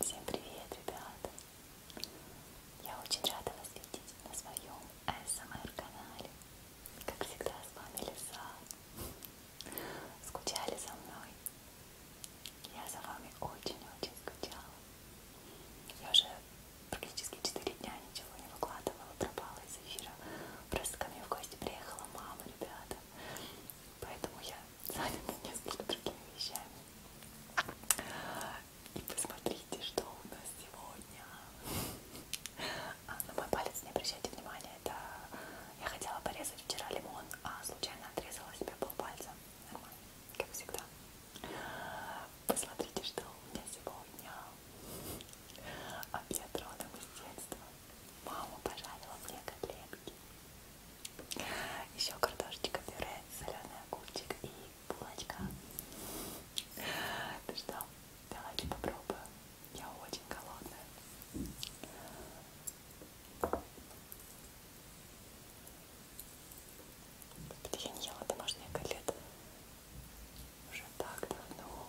Всем привет, ребята! Я очень рада вас видеть на своем ASMR-канале. Эм как всегда, с вами Лиса. Скучали за мной? Я за вами очень-очень скучала. Я уже практически 4 дня ничего не выкладывала, пропала из эфира. Просто ко мне в гости приехала мама, ребята. Поэтому я занята несколько другими вещами. И посмотрите, что у нас сегодня. А, на мой палец не обращайте внимания. Это я хотела порезать вчера лимон, а случайно отрезала себе полпальца. Нормально, как всегда. Посмотрите, что у меня сегодня. Обед родом из детства. Мама пожарила мне котлетки. Еще картошечка пюре, соленый огурчик и булочка. Ну что, давайте попробуем. Я очень голодная. Я не ела домашние котлеты уже так давно.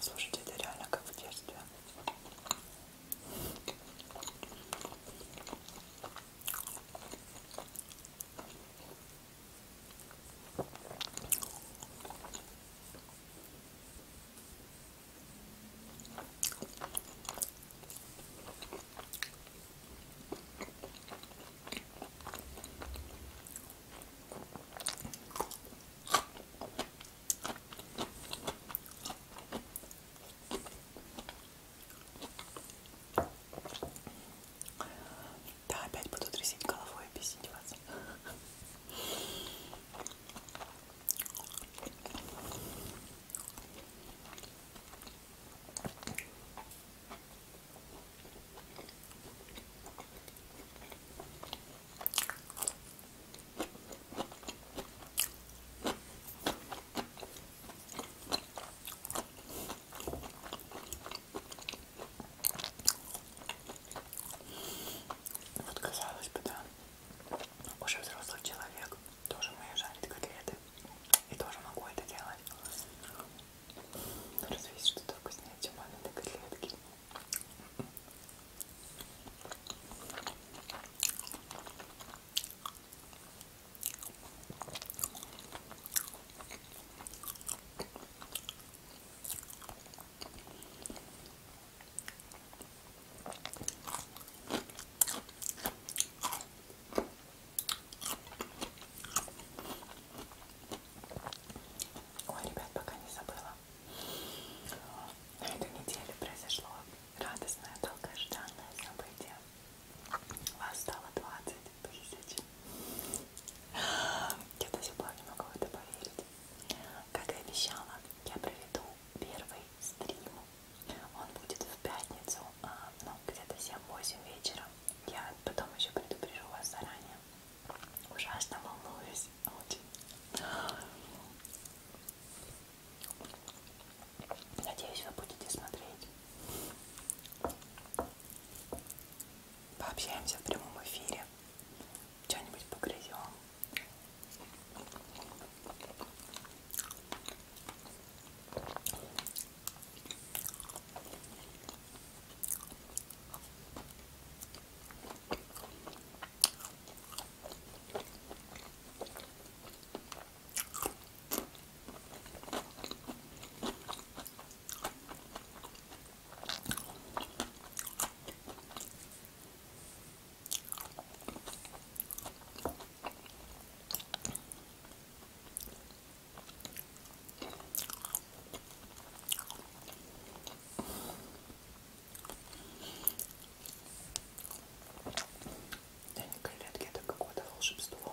Слушайте, это реально как в детстве. Да, опять буду трясить головой и объяснить вас. Вот казалось бы, да, уже взрослый человек, тоже умею жарить котлеты и тоже могу это делать. Но разве есть что-то вкуснее, чем мамины котлетки? Ой, ребят, пока не забыла. На этой неделе произошло радостное, долгожданное событие. Вас стало 20 тысяч. Я до сих пор не могу в это поверить. Как и обещала, я проведу первый стрим. Он будет в пятницу, а, ну, где-то 7-8 вечера. Я потом еще предупрежу вас заранее. Ужасно волнуюсь. Очень. Надеюсь, вы будете смотреть. Пообщаемся в прямом эфире что-нибудь погрызем. День колядки это какое-то волшебство.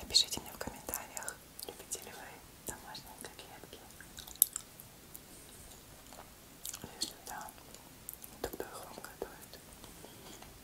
Напишите мне в комментариях, любите ли вы домашние котлетки. Если да, тогда их вам готовят.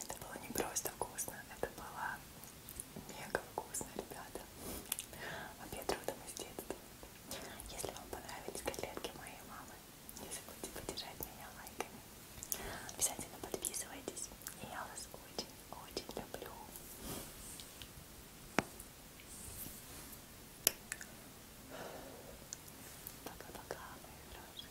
Это было не просто вкусно, это было мега вкусно, ребята. А Обед родом из детства. Если вам понравились котлетки моей мамы, не забудьте поддержать меня лайками. Обязательно подписывайтесь. И я вас очень-очень люблю. Пока-пока, мои хорошие.